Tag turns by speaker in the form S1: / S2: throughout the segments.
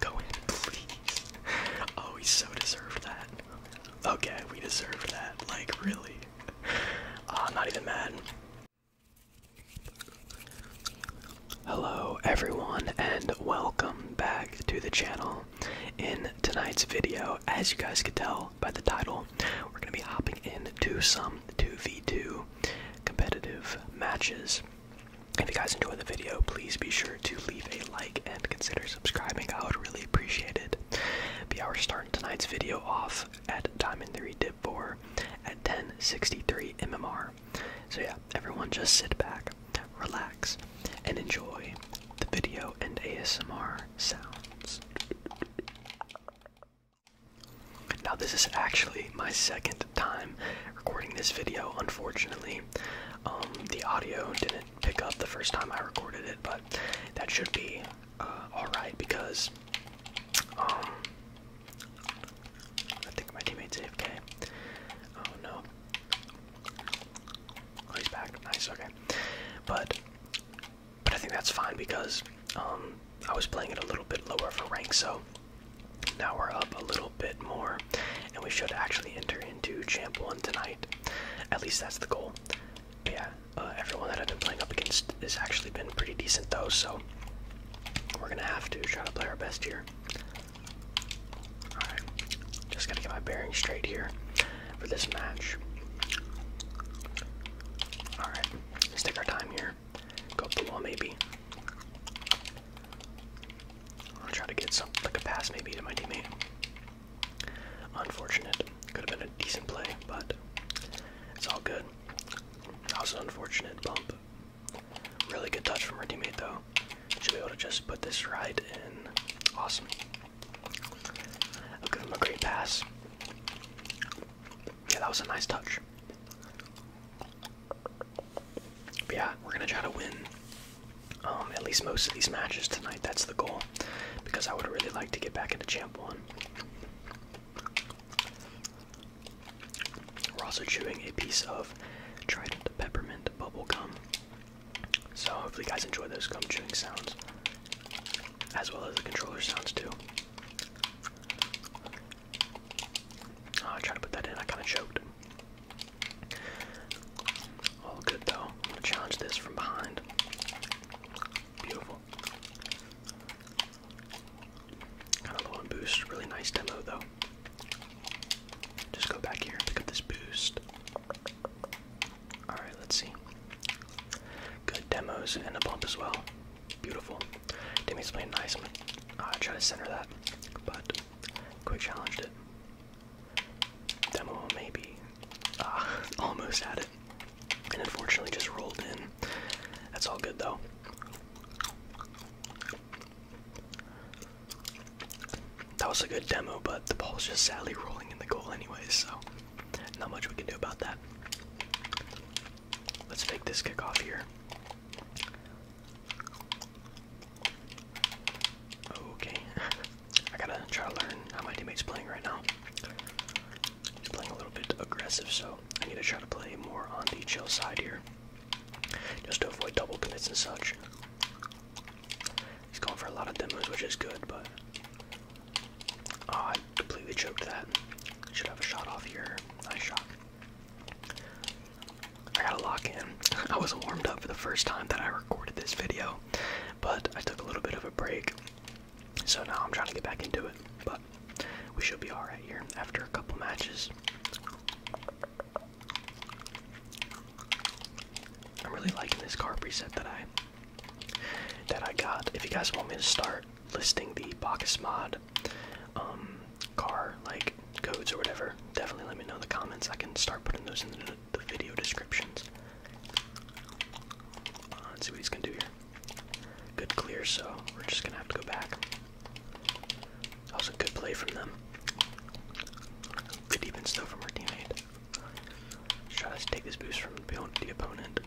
S1: Go in, please. Oh, he so deserved that. Okay, we deserved that. Like, really. Uh, ah, I'm not even mad. Hello, everyone, and welcome back to the channel. In tonight's video, as you guys could tell by the title, we're going to be hopping into some um, 2v2 competitive matches. If you guys enjoy the video, please be sure to leave a like and consider subscribing. I would really appreciate it. Be our we starting tonight's video off at Diamond 3 Dip 4 at 1063 MMR. So yeah, everyone just sit back, relax, and enjoy the video and ASMR sounds. Now, this is actually my second time recording this video, unfortunately. Um, the audio didn't pick up the first time I recorded it, but that should be uh, alright because um, I think my teammate's AFK. Oh no. Oh, he's back. Nice, okay. But, but I think that's fine because um, I was playing it a little bit lower for rank, so now we're up a little bit more, and we should actually enter into Champ 1 tonight. At least that's the goal. But yeah, uh, everyone that I've been playing up against has actually been pretty decent, though, so we're gonna have to try to play our best here. Alright, just gotta get my bearings straight here for this match. Alright, let our time here or go below maybe. I'll try to get some like a pass maybe to my teammate. Unfortunate. Could have been a decent play, but it's all good. That was an unfortunate bump. Really good touch from my teammate though. Should be able to just put this right in. Awesome. I'll give him a great pass. Yeah, that was a nice touch yeah, we're gonna try to win um, at least most of these matches tonight. That's the goal, because I would really like to get back into Champ One. We're also chewing a piece of Trident peppermint bubble gum. So hopefully, you guys enjoy those gum chewing sounds, as well as the controller sounds too. Oh, I tried to put that in. I kind of choked. All good though. challenge this from behind. Beautiful. Kind of low on boost. Really nice demo though. Just go back here and pick up this boost. Alright, let's see. Good demos and a bump as well. Beautiful. Demi's playing nice. i try to center that, but quick challenged it. Demo maybe ah, almost had it, and unfortunately just rolled in. That's all good though. That was a good demo, but the ball's just sadly rolling in the goal anyway, so not much we can do about that. Let's make this kick off here. Okay. I gotta try to learn how my teammate's playing right now. He's playing a little bit aggressive, so I need to try to play more on the chill side here. Just to avoid double commits and such. He's going for a lot of demos, which is good, but... Ah, I completely choked that. Should have a shot off here. Nice shot. I gotta lock in. I was warmed up for the first time that I recorded this video, but I took a little bit of a break, so now I'm trying to get back into it. But we should be alright here after a couple matches. I'm really liking this car preset that I that I got. If you guys want me to start listing the Bacchus mod um, car like codes or whatever, definitely let me know in the comments. I can start putting those in the, video descriptions. let's uh, see what he's gonna do here. Good clear, so we're just gonna have to go back. That was a good play from them. Good defense though from our teammate. Let's try to take this boost from the opponent.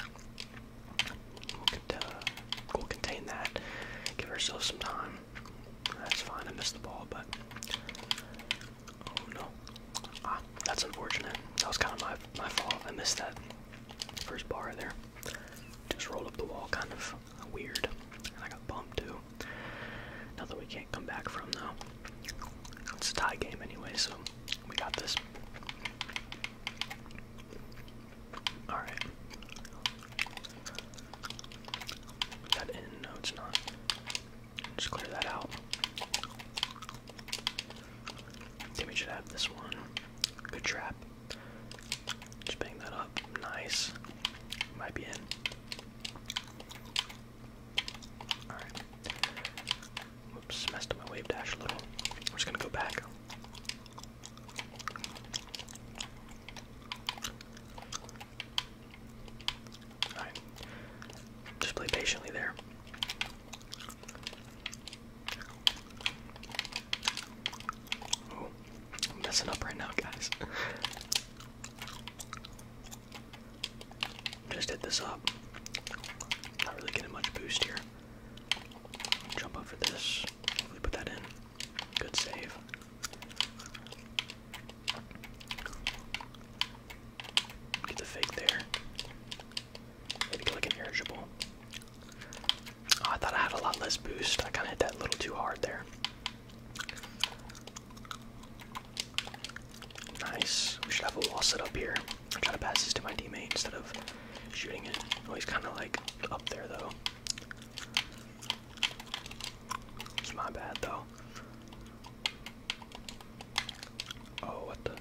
S1: Uh, we'll contain that. Give ourselves some time. That's fine. I missed the ball, but oh no. Ah, that's unfortunate. That was kind of my my fault. I missed that first bar there. Just rolled up the wall, kind of weird, and I got bumped too. Nothing we can't come back from though. It's a tie game anyway, so we got this. Alright. that in? No, it's not. Just clear that out. Timmy should have this one. Good trap. Just bang that up. Nice. Might be in. Alright. Whoops, messed up my wave dash a little. just gonna go back. Just play patiently there. I'm messing up right now, guys. Just hit this up. Not really getting much boost here. Jump up for this. put that in. Good save. Get the fake there. Maybe get irritable. Oh, I thought I had a lot less boost. I kind of hit that little too hard there. Nice. We should have a wall set up here. I'm trying to pass this to my teammate instead of shooting it. Oh, he's kind of like up there though. It's my bad though. Oh, what the?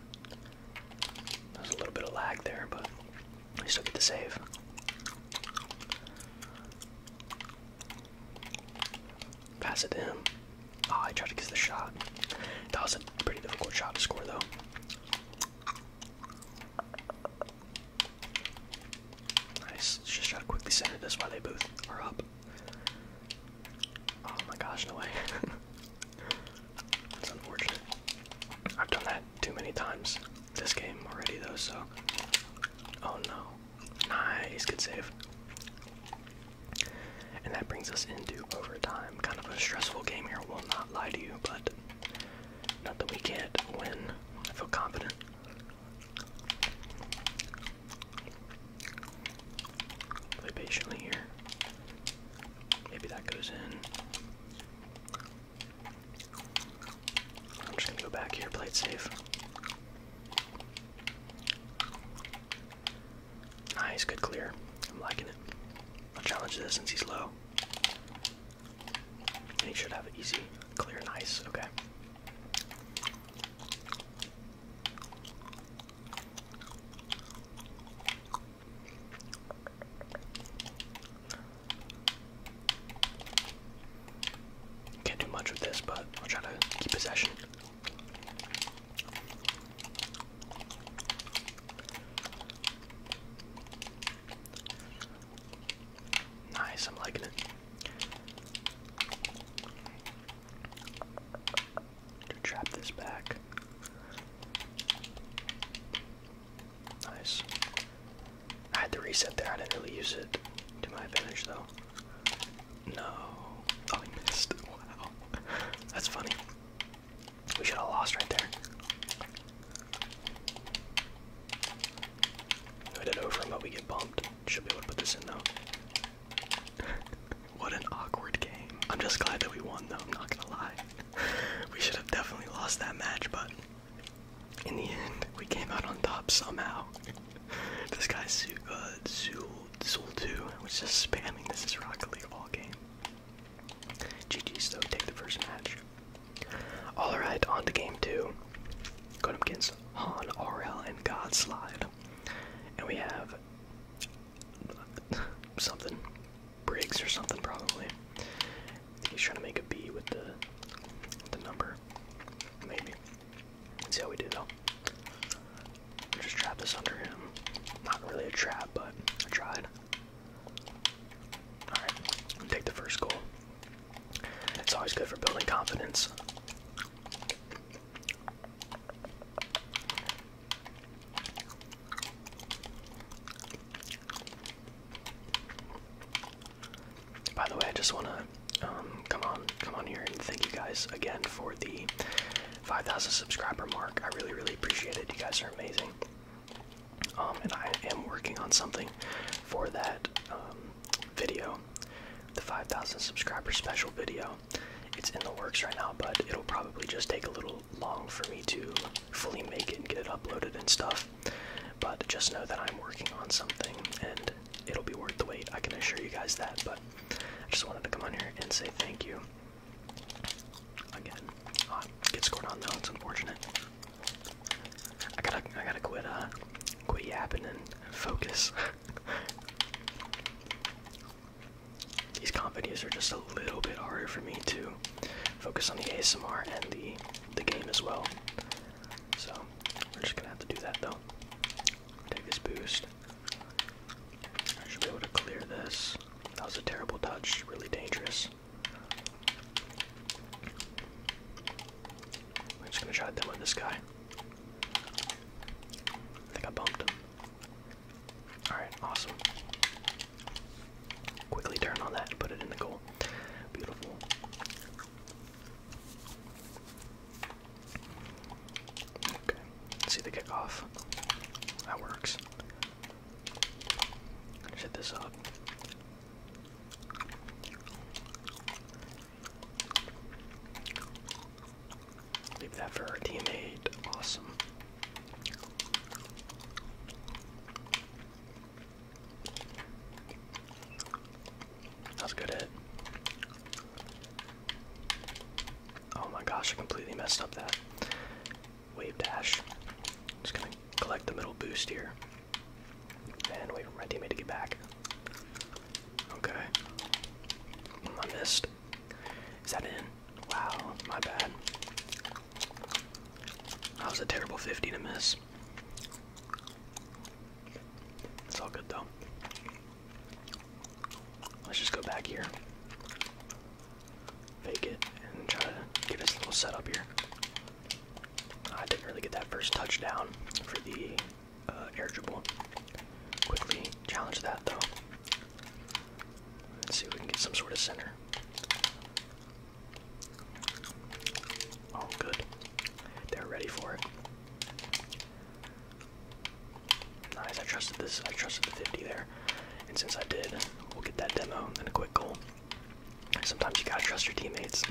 S1: There's a little bit of lag there, but I still get to save. Pass it to him. Oh, I tried to get the shot. That was a pretty difficult shot to score, though. Nice. Let's just try to quickly center this while they both are up. Oh my gosh, no way. That's unfortunate. I've done that too many times this game already, though, so. Oh no. Nice, good save. And that brings us into overtime. Kind of a stressful game here, will not lie to you, but not that we can't win. I feel confident. Play patiently here. Maybe that goes in. I'm just gonna go back here, play it safe. Nice, good clear. I'm liking it. I'll challenge this since he's low. And you should have it easy, clear, and ice. Okay. Can't do much with this, but I'll try to keep possession. Nice, I'm liking it. trap this back. Nice. I had to reset there. I didn't really use it to my advantage though. No. Oh, missed. Wow. That's funny. We should have lost right there. Hit it over him, but we get bumped. Should be able to put this in though. what an awkward game. I'm just glad that we won though, I'm not gonna lie. we should have definitely lost that match, but in the end, we came out on top somehow. this guy, Su uh, Zul, Zul 2, was just spamming this is rockley all game. GG's though, take the first match. Alright, on to game 2. Go to McKinsey. Han, RL, and Godslide. And we have something. Briggs or something probably. He's trying to make a B with the the number. Maybe. Let's see how we do though. Just trap this under him. Not really a trap, but I tried. Alright, take the first goal. It's always good for building confidence. By the way, I just want to um, come on, come on here and thank you guys again for the 5,000 subscriber mark. I really, really appreciate it. You guys are amazing. Um, and I am working on something for that. Um, video, the 5,000 subscriber special video. It's in the works right now, but it'll probably just take a little long for me to fully make it and get it uploaded and stuff. But just know that I'm working on something and it'll be worth the wait. I can assure you guys that, but I just wanted to come on here and say thank you. Again, oh, uh, get scored on though, it's unfortunate. I gotta, I gotta quit, uh, quit yapping and focus. These comp are just a little bit harder for me to focus on the ASMR and the the game as well. So we're just gonna have to do that though. Take this boost. I should be able to clear this. That was a terrible touch, really dangerous. We're just gonna try to demo this guy. I think I bumped him. Alright, awesome. Quickly turn on that and put it in the goal. Beautiful. Okay, see the kickoff. That works. Set this up. Leave that for our teammate. Awesome. That's a good hit. Oh my gosh, I completely messed up that wave dash. Just gonna collect the middle boost here. And wait for my teammate to get back. Okay. I missed. Is that in? Wow, my bad. That was a terrible 50 to miss. It's all good though. Let's just go back here. Fake it and try to get us a little setup here. I didn't really get that first touchdown for the uh, air dribble. Quickly challenge that though. Let's see if we can get some sort of center. Oh, good. They're ready for it. Nice. I trusted this. I trusted the 50 there. And since I did, we'll get that demo and then a quick goal. Sometimes you gotta trust your teammates.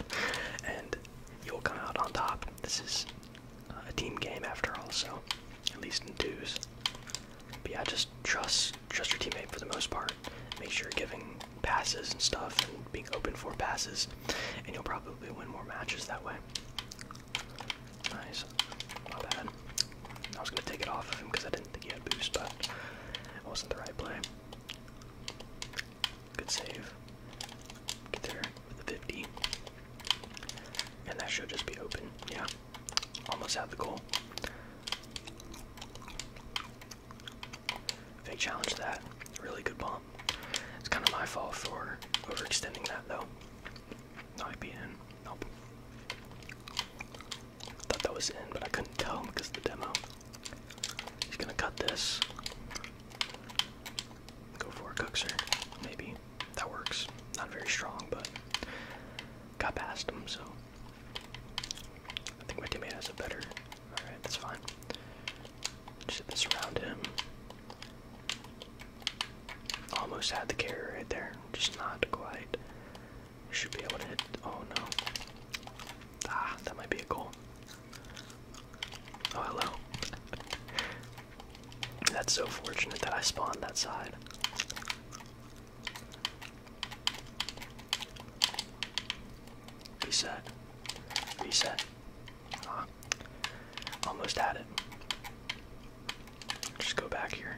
S1: and you'll come out on top this is a team game after all, so at least in twos. But yeah, just trust trust your teammate for the most part. Make sure you're giving passes and stuff and being open for passes, and you'll probably win more matches that way. Nice. Not bad. I was gonna take it off of him because I didn't think he had boost, but it wasn't the right play. Good save. Get there with the 50. And that should just be open. Yeah. Almost had the goal. Fake challenge that. Really good bomb. It's kind of my fault for overextending that though. No, I Nope. Thought that was in, but I couldn't tell because the demo. He's gonna cut this. Go for a cookser, maybe. That works. Not very strong, but got past him, so. I think my teammate has a better. Alright, that's fine. Just hit this around him. Almost had the carrier right there. Just not quite. Should be able to hit. Oh no. Ah, that might be a goal. Oh, hello. That's so fortunate that I spawned that side. Reset. Reset. Uh, almost had it. Just go back here.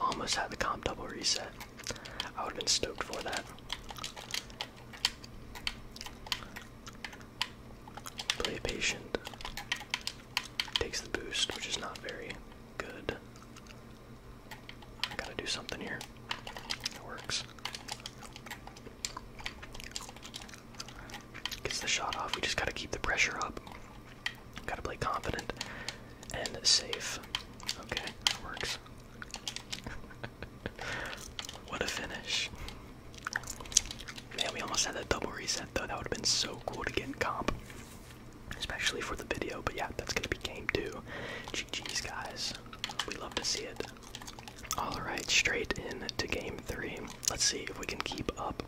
S1: Almost had the comp double reset. I would have been stoked for that. Play patient. Takes the boost, which is not very good. I gotta do something here. It works. Gets the shot off. We just gotta keep the pressure up. Gotta play confident and safe. Okay, that works. what a finish. Man, we almost had a double reset though. That would have been so cool to get in comp. Especially for the video, but yeah, that's gonna be game two. GG's guys. We love to see it. Alright, straight in to game three. Let's see if we can keep up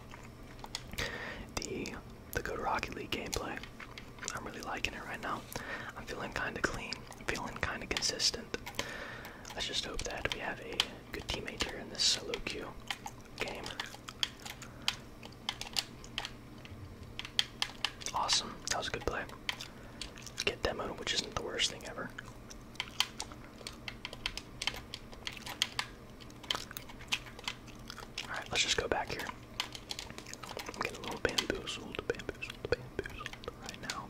S1: the the good Rocket League gameplay. I'm really liking it right now. I'm feeling kinda clean feeling kind of consistent. Let's just hope that we have a good teammate here in this solo game. Awesome, that was a good play. Get demoed, which isn't the worst thing ever. Alright, let's just go back here. I'm getting a little bamboozled, right now.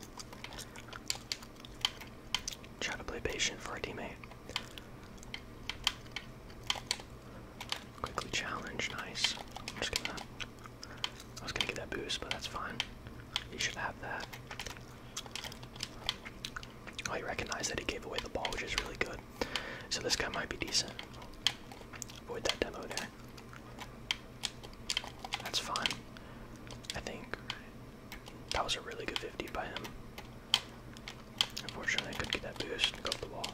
S1: Try to play patient for a teammate. Quickly challenge, nice. i was gonna get that boost, but that's fine. You should have that. Oh, he recognized that he gave away the ball, which is really good. So this guy might be decent. Avoid that demo there. That's fine. I think that was a really good 50 by him. Unfortunately, I couldn't get that boost and go the wall.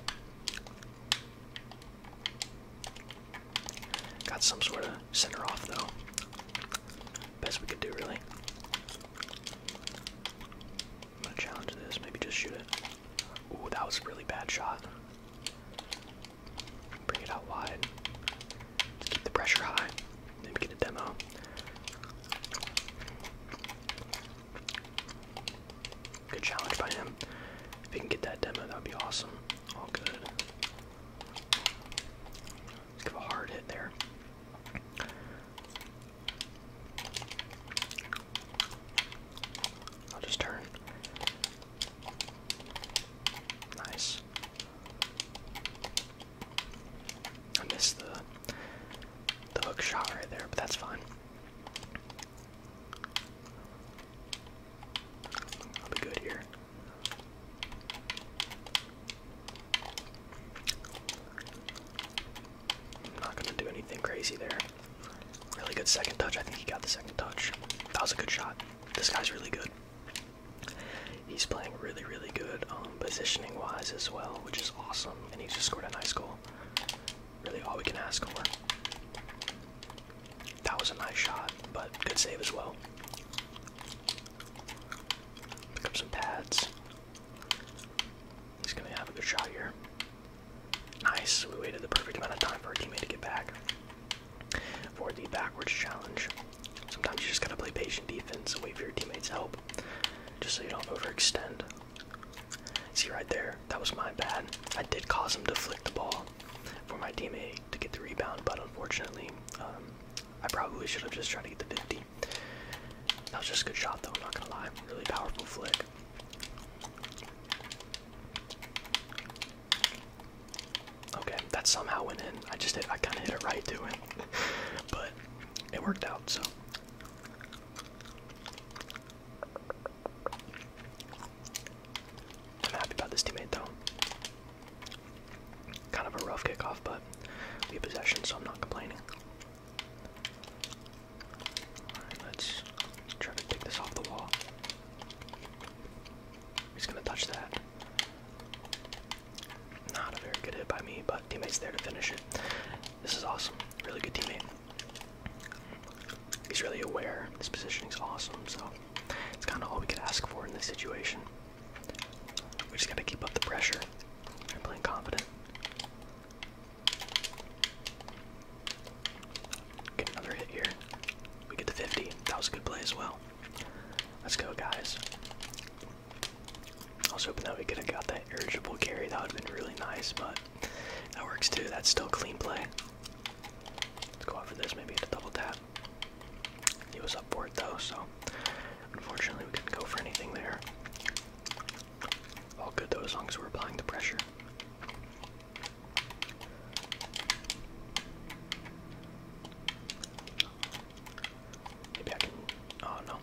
S1: Got some sort of center off though. Best we could do, really. gonna challenge this. Maybe just shoot it. Ooh, that was a really bad shot. Bring it out wide. keep the pressure high. Maybe get a demo. Good challenge by him. If he can get that demo, that would be awesome. All good. give a hard hit there. I'll just turn. Nice. I missed the the hook shot right there, but that's fine. I'll be good here. I'm not gonna do anything crazy there. Really good second touch. I think he got the second touch. That was a good shot. This guy's really good. He's playing really, really good um, positioning wise as well, which is awesome. And he just scored a nice goal. Really, all we can ask for. That was a nice shot, but good save as well. Pick up some pads. He's gonna have a good shot here. Nice. We waited the perfect amount of time for our teammate to get back for the backwards challenge. Sometimes you just gotta play patient defense and wait for your teammates' help, just so you don't overextend. See right there, that was my bad. I did cause him to flick the ball for my teammate to get the rebound, but unfortunately, um, I probably should have just tried to get the 50. That was just a good shot, though, I'm not gonna lie. Really powerful flick. Okay, that somehow went in. I just hit, I kind of hit it right to it, but it worked out. So. I'm happy about this teammate though. Kind of a rough kickoff, but we have possession, so I'm not complaining. let's try to take this off the wall. He's gonna touch that. Not a very good hit by me, but teammate's there to finish it. This is awesome. Really good teammate. He's really aware. This positioning is awesome, so it's kind of all we could ask for in this situation. We just gotta keep up the pressure I'm playing confident. Get another hit here. We get the 50. That was a good play as well. Let's go, guys. I was hoping that we could have got that irritable carry. That would have been really nice, but that works too. That's still clean play. Let's go out for this. Maybe get a double tap. He was up for it though, so unfortunately we couldn't go for anything there. All good though, as long as we're applying the pressure. Maybe I can. Oh no.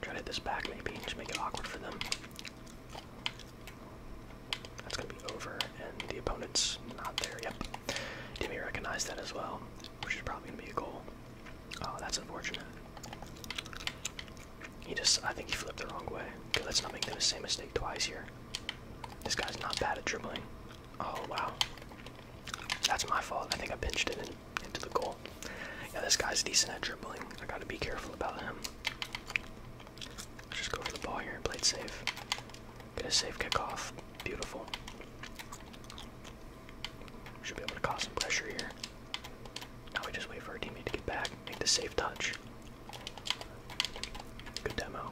S1: Try to hit this back, maybe, and just make it awkward for them. That's gonna be over, and the opponent's not there. Yep. did recognized that as well, which is probably gonna be a goal. Oh, that's unfortunate. He just, I think he flipped the wrong way. Okay, let's not make the same mistake twice here. This guy's not bad at dribbling. Oh wow. That's my fault. I think I pinched it into the goal. Yeah, this guy's decent at dribbling. I gotta be careful about him. just go for the ball here and play it safe. Get a safe kickoff. Beautiful. Should be able to cause some pressure here. Now we just wait for our teammate to get back. Make the safe touch. Good demo.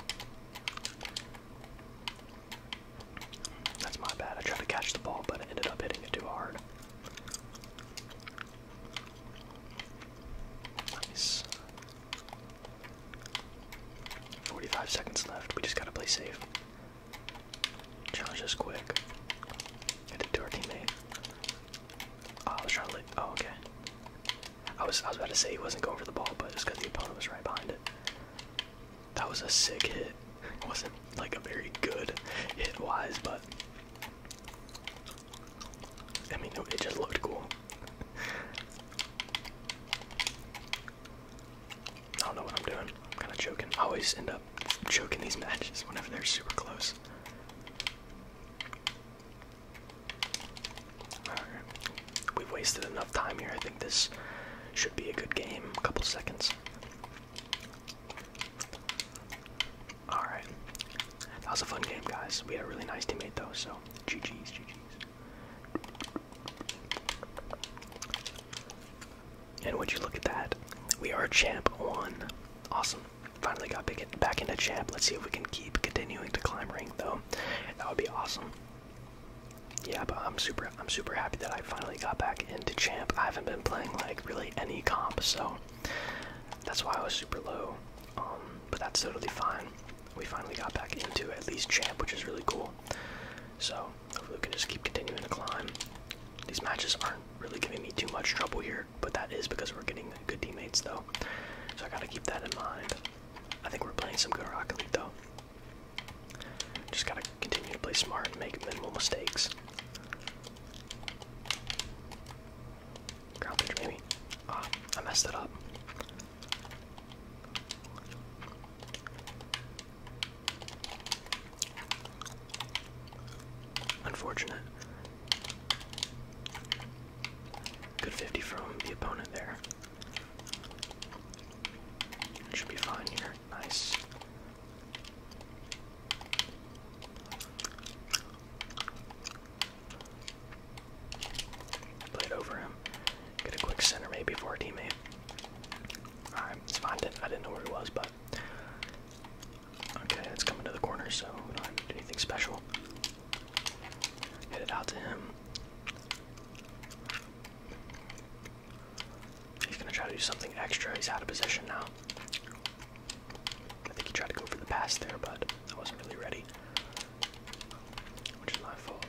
S1: That's my bad. I tried to catch the ball, but I ended up hitting it too hard. Nice. 45 seconds left. We just gotta play safe. Challenge is quick. Hit it to our teammate. Oh, I was trying to. Oh, okay. I was I was about to say he wasn't going for the ball, but it's got the opponent was right behind it. That was a sick hit. It wasn't like a very good hit wise, but I mean, it just looked cool. I don't know what I'm doing. I'm kind of choking. I always end up choking these matches whenever they're super close. We've wasted enough time here. I think this should be a good game. A couple seconds. Alright. That was a fun game, guys. We had a really nice teammate, though, so GG's, GG's. And would you look at that? We are champ one. Awesome. Finally got back into champ. Let's see if we can keep continuing to climb rank, though. That would be awesome yeah, I'm super I'm super happy that I finally got back into champ. I haven't been playing like really any comp, so that's why I was super low. Um, but that's totally fine. We finally got back into at least champ, which is really cool. So hopefully we can just keep continuing to climb. These matches aren't really giving me too much trouble here, but that is because we're getting good teammates though. So I gotta keep that in mind. I think we're playing some good Rocket League though. Just gotta continue to play smart and make minimal mistakes. Ground pitch, maybe. Ah, I messed that up. Unfortunate. Good 50 from the opponent there should be fine here. Nice. Play it over him. Get a quick center maybe for a teammate. Alright, it's fine. I didn't know where he was, but. Okay, it's coming to the corner, so don't have anything special. Hit it out to him. He's gonna try to do something extra. He's out of position now. I think he tried to go for the pass there, but I wasn't really ready. Which is my fault.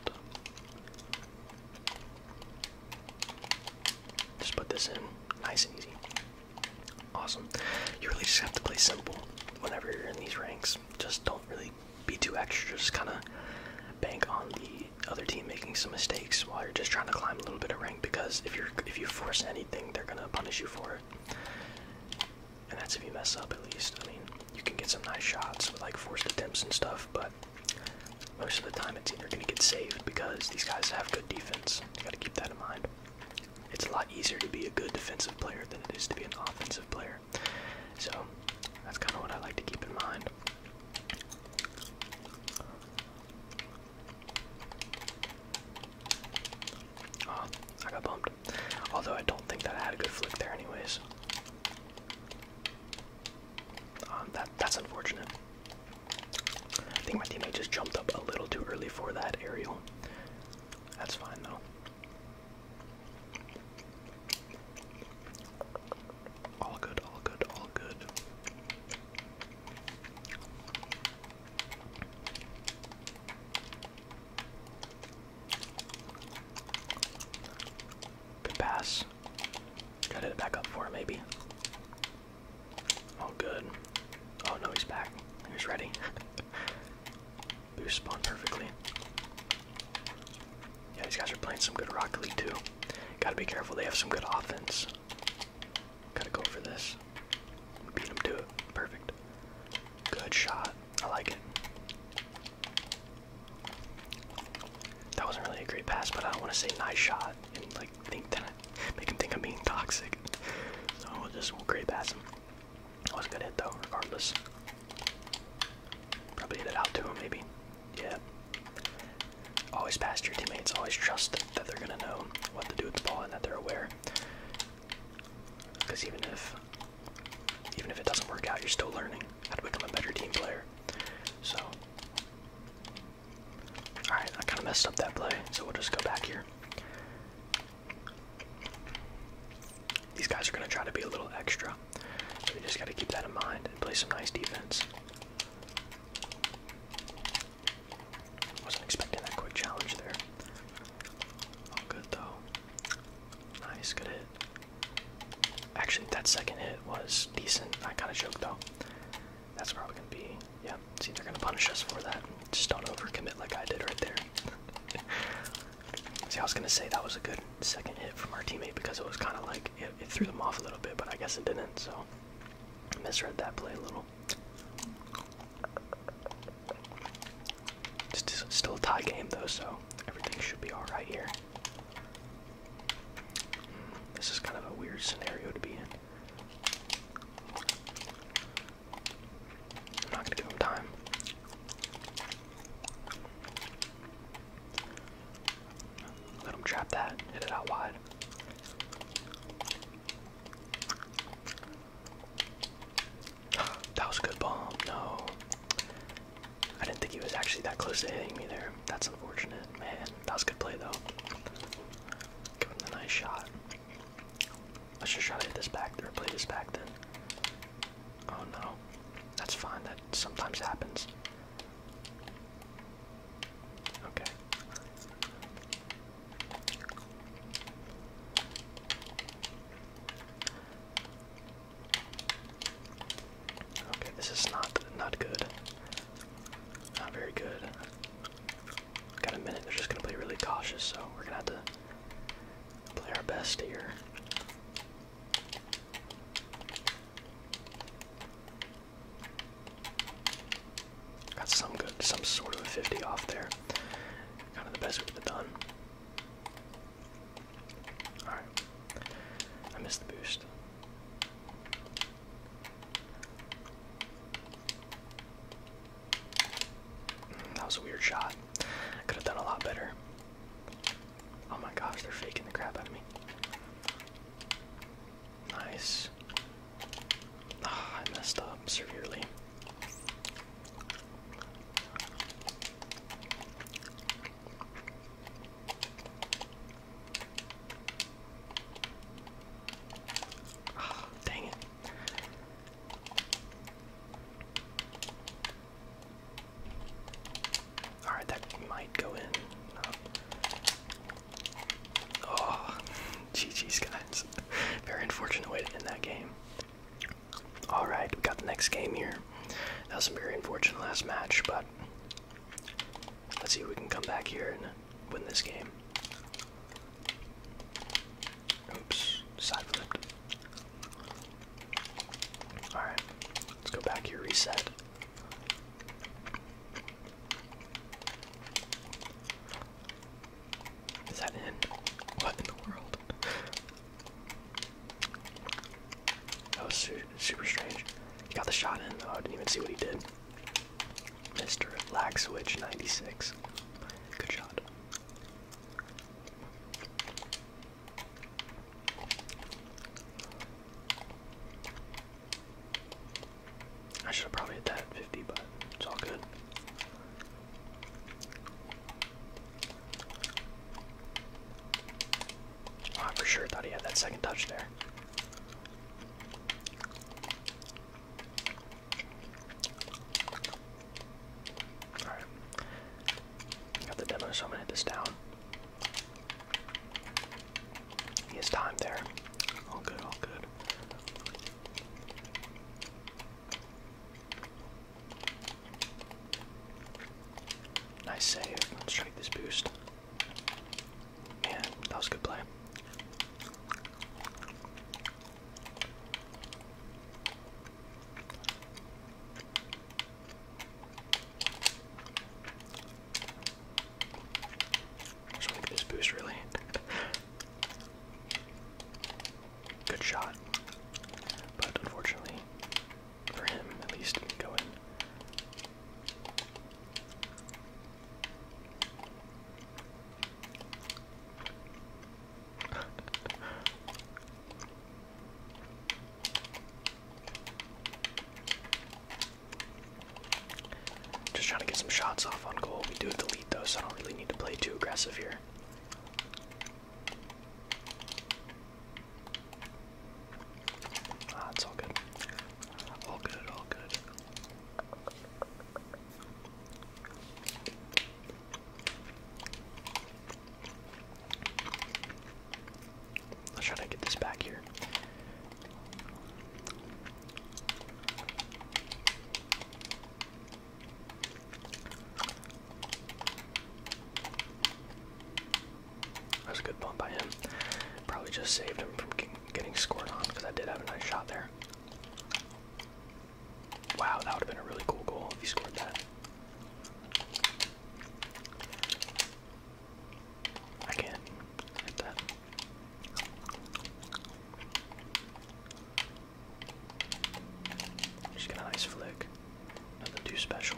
S1: Just put this in. Nice and easy. Awesome. You really just have to play simple whenever you're in these ranks. Just don't really like B2 extra, just kind of bank on the other team making some mistakes while you're just trying to climb a little bit of rank. Because if you if you force anything, they're gonna punish you for it. And that's if you mess up, at least. I mean, you can get some nice shots with like forced attempts and stuff, but most of the time it's either gonna get saved because these guys have good defense. You gotta keep that in mind. It's a lot easier to be a good defensive player than it is to be an offensive player. So that's kind of what I like to keep in mind. Oh, I got bumped. Although I don't think that I had a good flick there anyways. Um, that that's unfortunate. I think my teammate just jumped up a little too early for that aerial. That's fine though. All good, all good, all good. Good pass. Try to back up for maybe. Oh, good. Oh no, he's back. He's ready. Boost spawn perfectly. Yeah, these guys are playing some good Rocket League too. Gotta be careful, they have some good offense. Gotta go for this. Beat him to Perfect. Good shot. I like it. That wasn't really a great pass, but I don't want to say nice shot and like think that make him think I'm being toxic. So we'll just we great pass him. Wasn't gonna hit though, regardless. Probably hit it out to him maybe yeah. Always pass your teammates. Always trust that they're gonna know what to do with the ball and that they're aware. Because even if, even if it doesn't work out, you're still learning how to become a better team player. So, all right, I kind of messed up that play, so we'll just go back here. These guys are gonna try to be a little extra. So you just got to keep that in mind and play some nice defense. Wasn't expecting that quick challenge there. good though. Nice, good hit. Actually, that second hit was decent. I kind of joked though. That's probably gonna be. Yeah. See, they're gonna punish us for that. Just don't overcommit like I did right there. See, I was gonna say that was a good second hit from our teammate because it was kind of like it, threw them off a little bit, but I guess it didn't. So I misread that play a little. It's still a tie game though, so everything should be all right here. Hmm, this is kind of a weird scenario to be in. I'm not gonna give him time. Let him trap that. Hit it out wide. that was a good bomb. No. I didn't think he was actually that close to hitting me there. That's unfortunate. Man, that was good play though. Give the nice shot. Let's just try to hit this back there. Play this back then. Oh no. That's fine. That sometimes happens. Okay. Okay, this is not not good. Not very good. Got a minute. They're just gonna play really cautious, so we're gonna have to play our best here. Got some good, some sort of a 50 off there. Kind of the best we could have done. Alright. I missed the boost. Mm, that was a weird shot. I could have done a lot better. Oh my gosh, they're faking the crap out of me. Nice. Ah, I messed up severely. Ah, dang it. Alright, that might go in. No. Oh, GG's, guys. Very unfortunate way to end that game. Alright, we we've got the next game here. That was a very unfortunate last match, but let's see if we can come back here and win this game. Oops, side flipped. Alright, let's go back here, reset. Is that in? What in the world? That was super strange. He got the shot in, though. I didn't even see what he did. Mr. Lag Switch 96. Good shot. I should have probably hit that 50, but it's all good. I ah, for sure thought he had that second touch there. Alright. Got the demo, so I'm gonna hit this down. He has time there. All good, all good. Nice save. Let's try this boost. Man, that was a good play just want this boost really. Good shot. But unfortunately, for him at least, go in. Just trying to get some shots off on goal. We do have the lead though, so I don't really need to play too aggressive here. Ah, it's all good. All good, all good. Let's try to get this back here. That was a good bump by him. Probably just saved him from getting scored on because I did have a nice shot there. Wow, that would have been a really cool goal if he scored that. I can't hit that. just gonna ice flick. Nothing too special.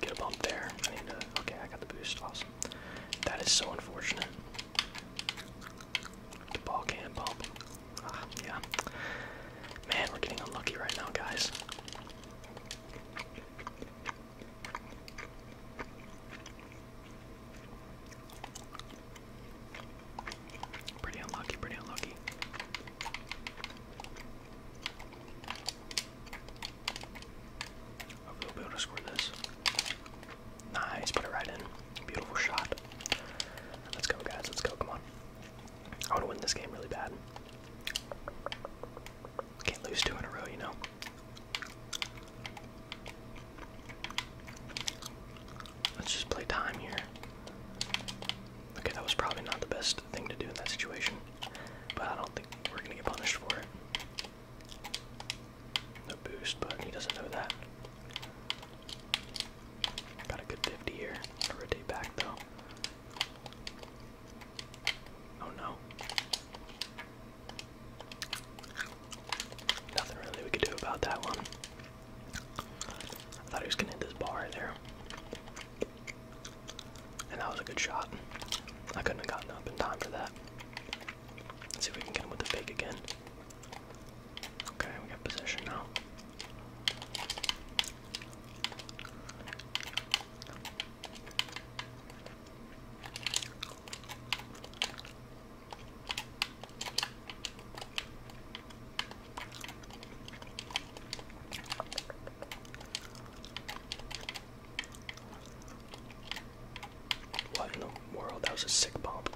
S1: Get a bump there. I need to. Okay, I got the boost. Awesome. That is so unfortunate. The ball can bump. Ah, yeah. Man, we're getting unlucky right now, guys. Pretty unlucky, pretty unlucky. Hopefully, we'll to score this. Nice, put it right in. Beautiful shot. Let's go, guys. Let's go. Come on. I want to win this game really bad. Can't lose two in a row, you know. Let's just play time here. Okay, that was probably not the best thing to do in that situation, but I don't think we're gonna get punished for it. No boost, but he doesn't know that. Got a good 50 here. I rotate back though. Oh no. Nothing really we could do about that one. I thought he was gonna hit this bar there. And that was a good shot. I couldn't have gotten up in time for that. Let's see if we can get him with the fake again. Okay, we got position now. What in the world? That was a sick bump.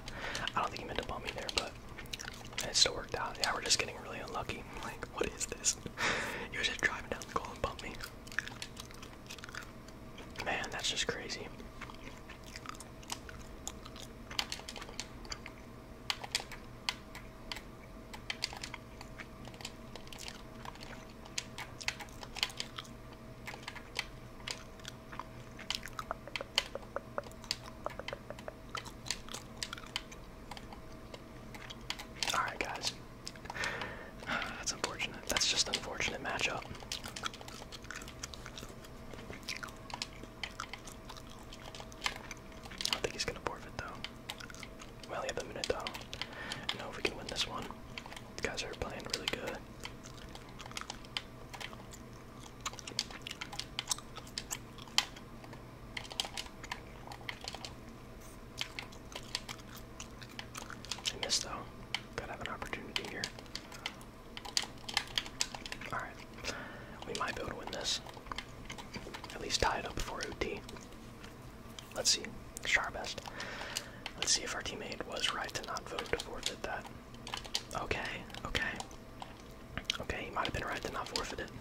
S1: I don't think he meant to bump me there, but it still worked out. Yeah, we're just getting really unlucky. Like, what is this? was he was driving down the goal and me. Man, that's just crazy. All right, guys. That's unfortunate. That's just an unfortunate matchup. I don't think he's gonna forfeit though. We only have a minute though. know if we can win this one. guys are playing really good. I missed though. Gotta have an opportunity here. Alright. We might be able to win this. At least tie it up before OT. Let's see. let try our best. Let's see if our teammate was right to not vote to forfeit that. Okay, okay. Okay, he might have been right to not forfeit it.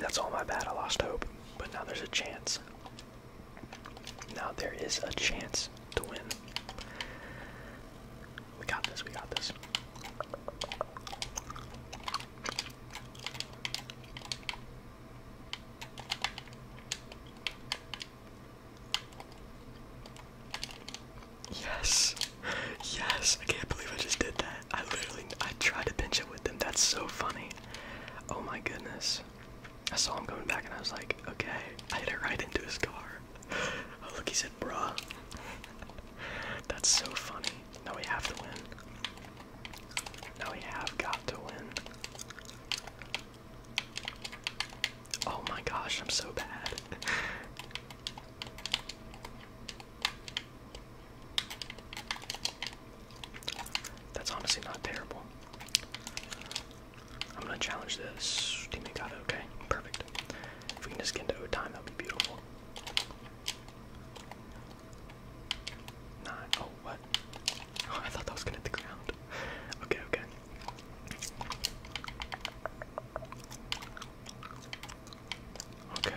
S1: That's all my bad. I lost hope. But now there's a chance. Now there is a chance to win. We got this. We got this. Yes. Yes. I can't believe I just did that. I literally I tried to pinch it that's so funny. Oh my goodness. I saw him going back and I was like, okay. I hit it right into his car. Oh, look, he said, bruh. That's so funny. Now we have to win. Now we have got to win. Oh my gosh, I'm so bad. That's honestly not terrible. I'm gonna challenge this. Teammate got it, okay? Perfect. If we can just get into time, that will be beautiful. Nine. Oh, what? Oh, I thought that was gonna hit the ground. Okay, okay. Okay.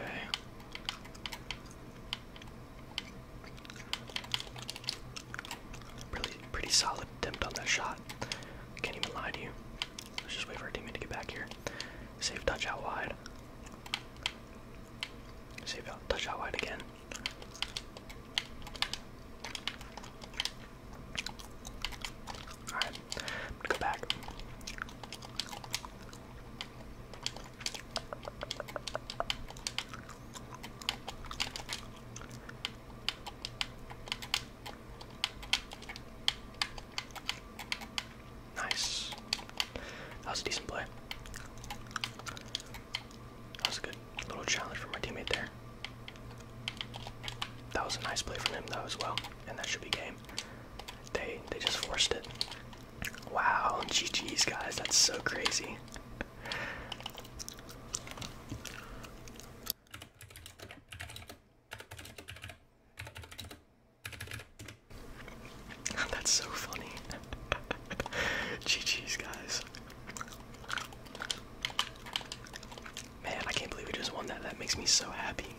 S1: Really, pretty solid attempt on that shot. Can't even lie to you. Let's just wait for our teammate to get back here. Save touch wide. Save out wide again. Alright, go back. Nice. That was a decent play. That was a good little challenge for my teammate there. That was a nice play from him though as well, and that should be game. They they just forced it. Wow, GG's guys, that's so crazy. that's so funny. GG's guys. Man, I can't believe we just won that. That makes me so happy.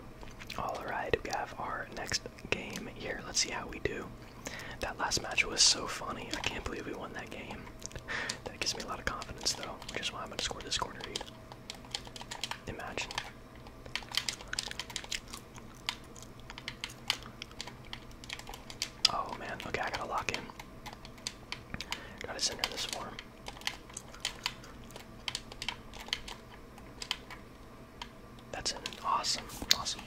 S1: All right, we have our next game here. Let's see how we do. That last match was so funny. I can't believe we won that game. that gives me a lot of confidence, though, which is why I'm going to score this corner read. Imagine. Oh man, okay, I gotta lock in. Gotta send this form. That's an awesome, awesome.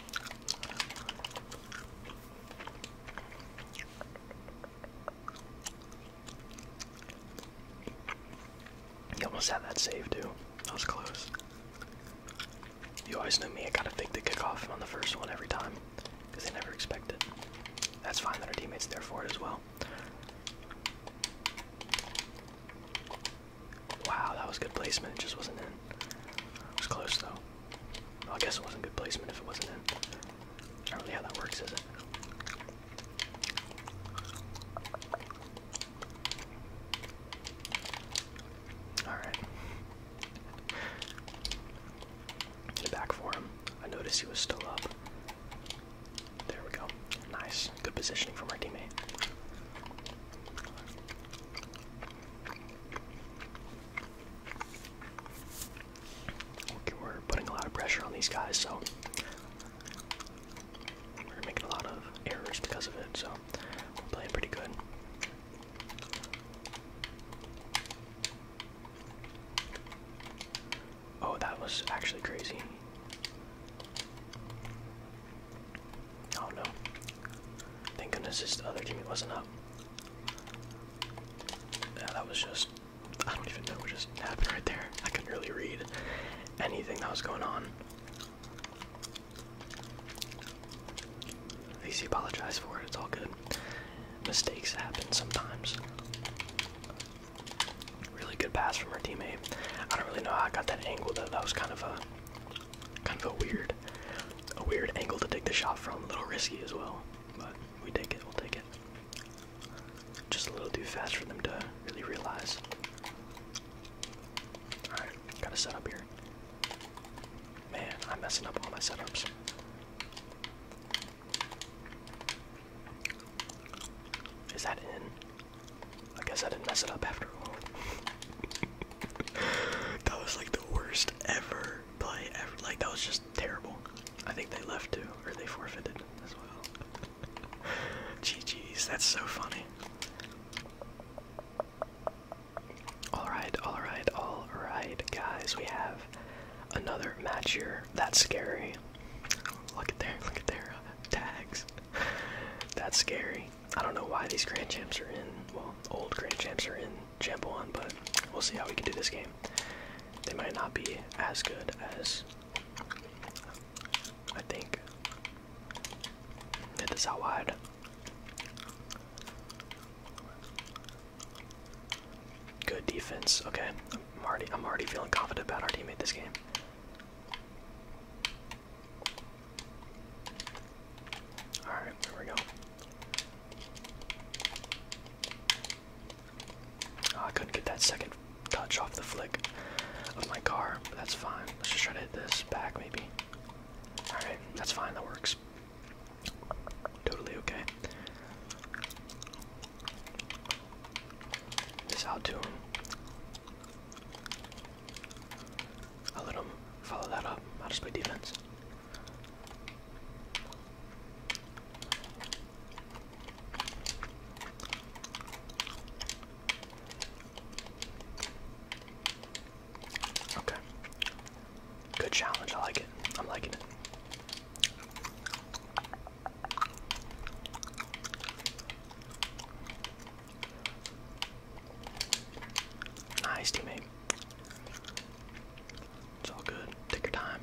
S1: You almost had that save too. That was close. You always knew me, I gotta fake the kickoff on the first one every time. Because they never expect it. That's fine that our teammates there for it as well. Wow, that was good placement. It just wasn't in. It was close though. I guess it wasn't good placement if it wasn't in. I do Not really how that works, is it? Alright. back for him. I noticed he was still up. There we go. Nice. Good positioning from our teammate. we're putting a lot of pressure on these guys, so we're making a lot of errors because of it, so playing pretty good. Oh, that was actually crazy. Oh no. Thank goodness this other teammate wasn't up. Yeah, that was just. I don't even know what just happened right there. I couldn't really read anything that was going on. At least he apologized for it, it's all good. Mistakes happen sometimes. Really good pass from her teammate. I don't really know how I got that angle though. That was kind of a kind of a weird a weird angle to take the shot from. A little risky as well. But we take it, we'll take it. Just a little too fast for them to really realize. Alright, gotta set up here. Man, I'm messing up all my setups. Is that in? I guess I didn't mess it up after all. that was like the worst ever play ever. Like that was just terrible. I think they left too, or they forfeited as well. Geez, that's so funny. Alright, alright, alright, guys, we have another match here. That's scary. Look at there, look at there. tags. That's scary. I don't know why these Grand Champs are in, well, old Grand Champs are in Champ 1, but we'll see how we can do this game. They might not be as good as I think. Hit this out wide. Good defense. Okay, I'm already I'm already feeling confident about our team teammate this game. Alright, there we go. Oh, couldn't get that second touch off the flick of my car, but that's fine. Let's just try to hit this back, maybe. Alright, that's fine, that works. Totally okay. This out to I'll let him follow that up. I'll just play defense. Okay. Good challenge. I like it. I'm liking it. Nice teammate. It's all good. Take your time.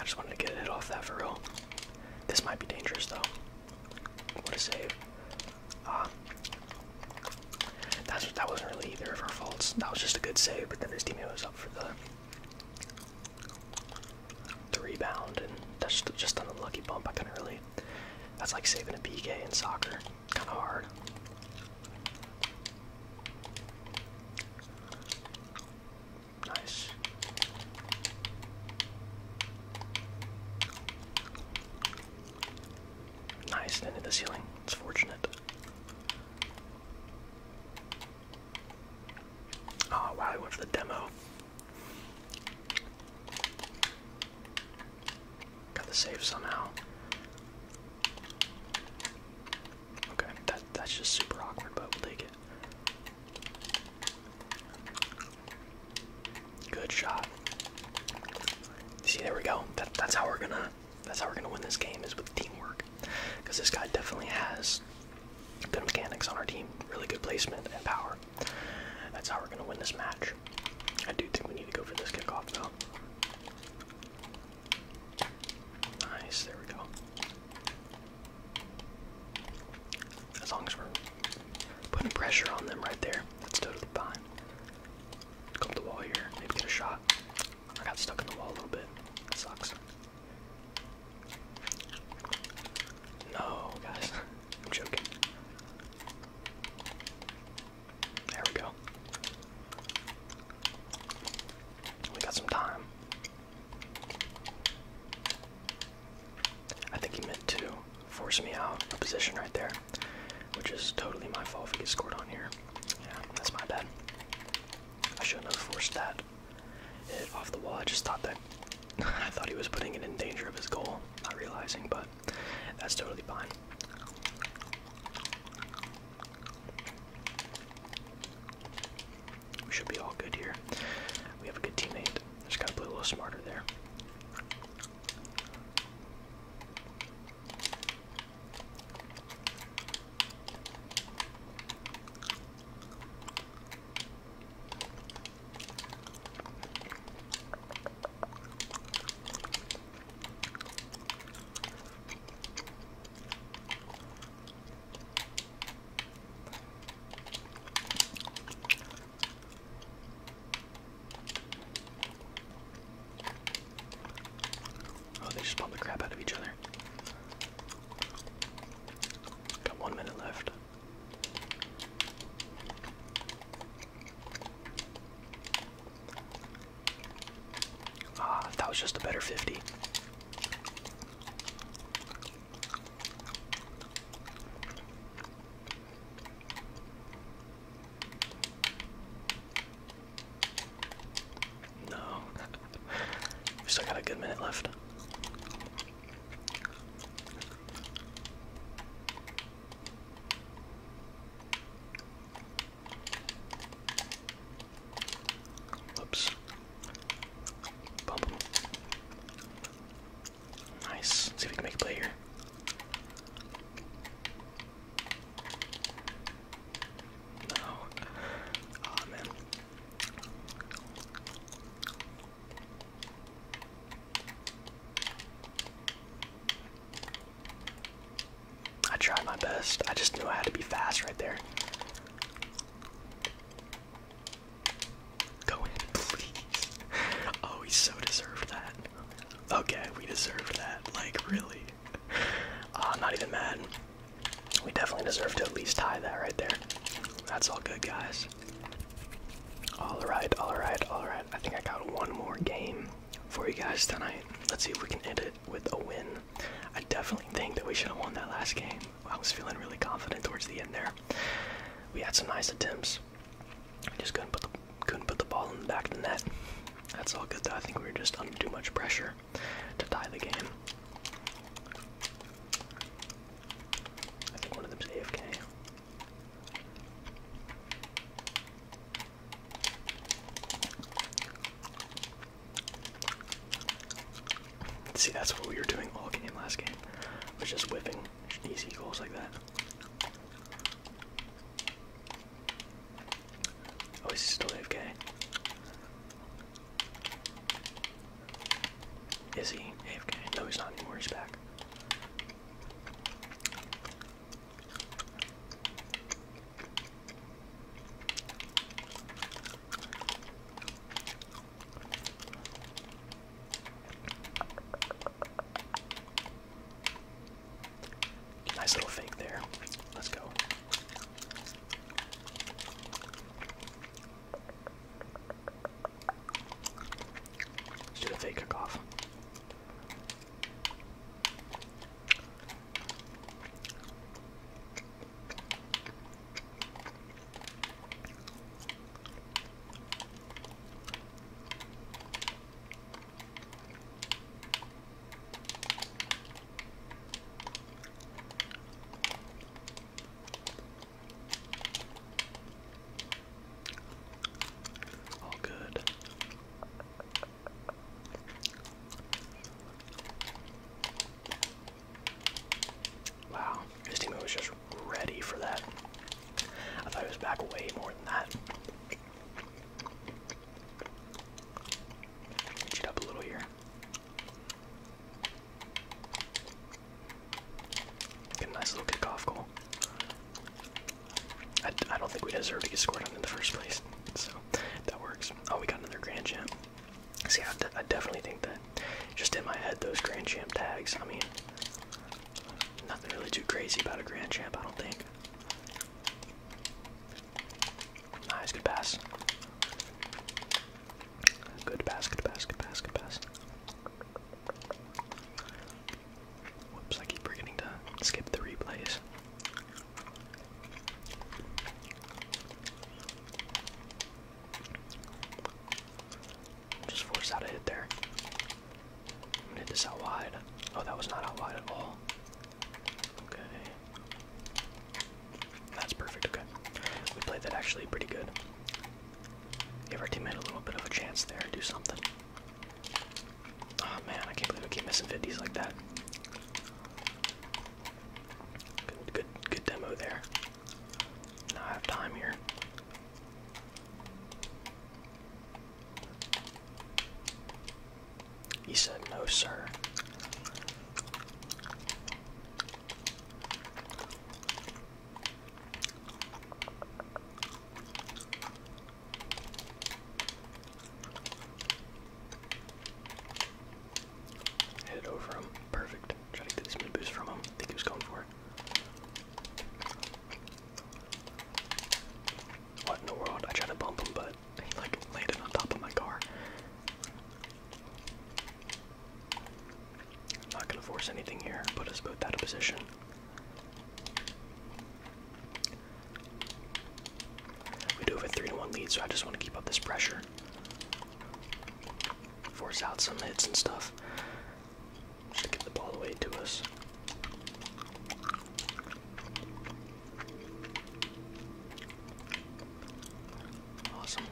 S1: I just wanted to get a off that for real. This might be dangerous though. What a save. Um, that wasn't really either of our faults. That was just a good save, but then his teammate was up for the the rebound, and that's just an unlucky bump. I couldn't really. That's like saving a PK in soccer. Kind of hard. Nice. Nice, into the ceiling. It's fortunate. Oh wow, We went for the demo. Got to save somehow. Okay, that that's just super awkward, but we'll take it. Good shot. See, there we go. that's how we're gonna that's how we're gonna win this game is with teamwork because this guy definitely has good mechanics on our team, really good placement and power. That's how we're gonna win this match. I do think we need to go for this kickoff though. Nice, there we go. As long as we're putting pressure on them right there, that's totally fine. Go up the wall here, maybe get a shot. I got stuck in the wall a little bit. That sucks. No, guys. I'm joking. There we go. We got some time. I think he meant to force me out of position right there, which is totally my fault if he gets scored on here. Yeah, that's my bad. I shouldn't have forced that off the wall. I just thought that I thought he was putting it in danger of his goal, not realizing, but that's totally fine. We should be all good here. We have a good teammate. Just gotta play a little smarter there. Oh, they just pumped the crap out of each other. Got one minute left. Ah, that was just a better 50. No. we still got a good minute left. Whoops. Bump Nice. see if we can make a play here. No. Oh man. I tried my best. I just knew I had to be fast right there. Go in, please. Oh, we so deserved that. Okay, we deserved that. Like, really. Uh, not even mad. We definitely deserve to at least tie that right there. That's all good, guys. All right, all right, all right. I think I got one more game for you guys tonight. Let's see if we can end it with a win. I definitely think that we should have won that last game. I was feeling really confident towards the end there. We had some nice attempts. I just couldn't put the couldn't put the ball in the back of the net. That's all good though. I think we were just under too much pressure to tie the game. See, that's what we were doing all game last game. Was just whipping easy goals like that. Oh, he's still AFK. Is he AFK? No, he's not anymore. He's back. Nice little fake there. Let's go. Let's do the fake kickoff. All good. Wow, his teammate was just ready for that. I thought he was back way more than that. up a little here. Get a nice little kickoff goal. I, I don't think we deserve to get scored on in the first place, so that works. Oh, we got another Grand Champ. See, I, I definitely think that just in my head, those Grand Champ tags, I mean, nothing really too crazy about a Grand Champ, I don't think. Nice, good pass. Good pass, good pass, pass, Whoops, I keep forgetting to skip the replays. Just forced out a hit there. I'm gonna hit this out wide. Oh, that was not out wide at all. Okay. That's perfect, okay. We played that actually pretty good. Give our teammate a little bit of a chance there and do something. Oh man, I can't believe we keep missing 50s like that. Good, good, good demo there. Now have time here. He said, no, sir. Hit it over him. Perfect. Try to get this mid boost from him. I think he was going for it. What in the world? I tried to bump him, but he like landed on top of my car not going to force anything here, put us both out of position. We do have a 3 to 1 lead, so I just want to keep up this pressure. Force out some hits and stuff. Just get the ball away to us. Awesome.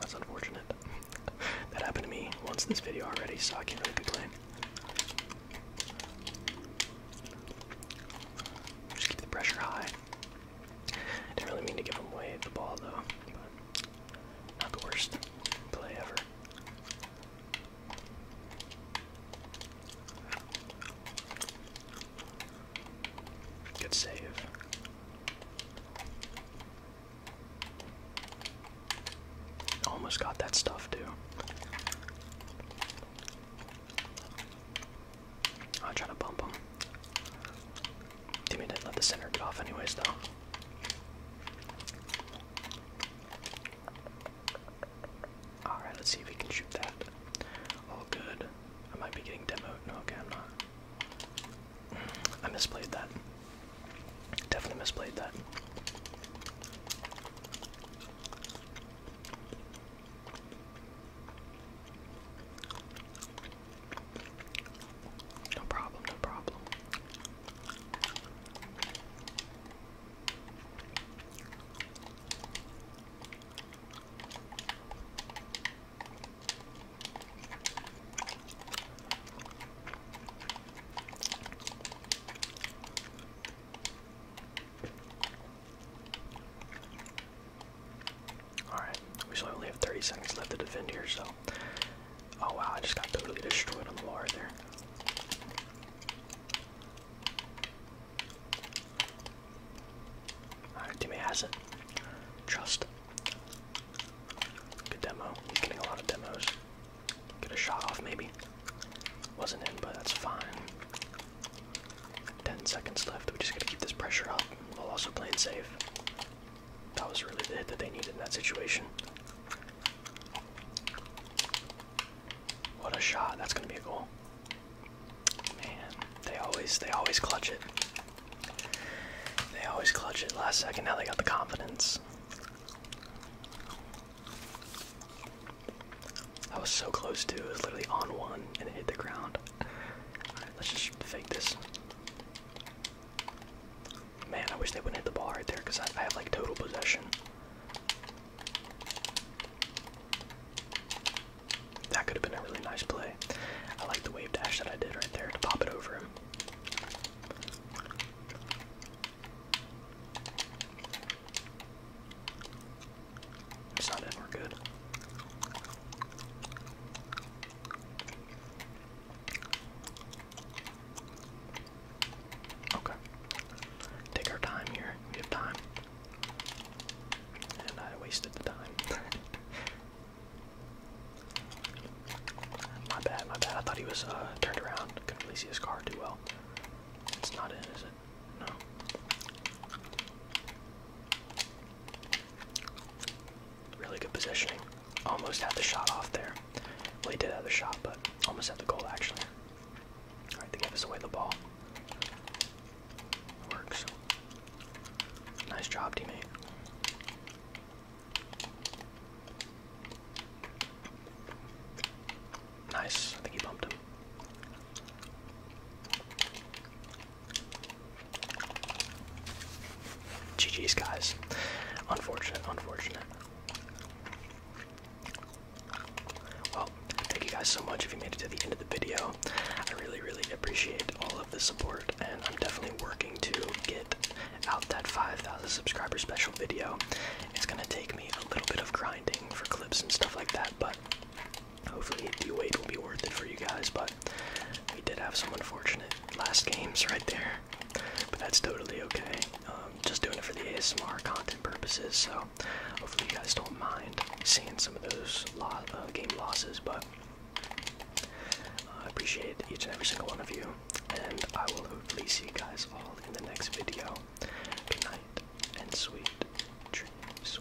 S1: That's unfortunate. that happened to me once this video already, so I can't really complain. Just keep the pressure high. Didn't really mean to give him away the ball though, not the worst play ever. Good save. Almost got that stuff too. I'll try to bump him. Timmy didn't let the center get off anyways though. Alright, let's see if we can shoot that. All good. I might be getting demoed. No, okay, I'm not. I misplayed that. Definitely misplayed that. No problem, no problem. Alright, we still only have 30 seconds left to defend here, so. Oh wow, I just got totally destroyed on the wall there. Alright, teammate has it. Trust. Good demo. getting a lot of demos. Get a shot off, maybe. Wasn't in, but that's fine. 10 seconds left. We just gotta keep this pressure up while also playing safe. That was really the hit that they needed in that situation. What a shot. That's gonna be a goal. Man, they always they always clutch it. They always clutch it last second. Now they got the confidence. I was so close to. It was literally on one and it hit the ground. Alright, let's just fake this. Man, I wish they wouldn't hit the ball right there because I have like total possession. That could have been a really nice play. I like the wave dash that I did right there to pop it over him. It's not it, we're good. Okay. Take our time here. We have time. And I wasted the time. My bad, my bad. I thought he was uh, turned around. Couldn't really see his car too well. It's not in, is it? No. Really good positioning. Almost had the shot off there. Well, he did have the shot, but almost had the goal actually. Alright, they gave us away the ball. Works. Nice job, teammate. Nice. I think he bumped him. GG's, guys. Unfortunate, unfortunate. Well, thank you guys so much if you made it to the end of the video. I really, really appreciate all of the support, and I'm definitely working to get out that 5,000 subscriber special video. It's gonna take me a little bit of grinding for clips and stuff like that, but hopefully the wait will be worth it for you guys. But we did have some unfortunate last games right there, but that's totally okay. Um, just doing it for the ASMR content purposes, so hopefully you guys don't mind seeing some of those uh, game losses, but. I appreciate each and every single one of you, and I will hopefully see you guys all in the next video. Good and sweet dreams.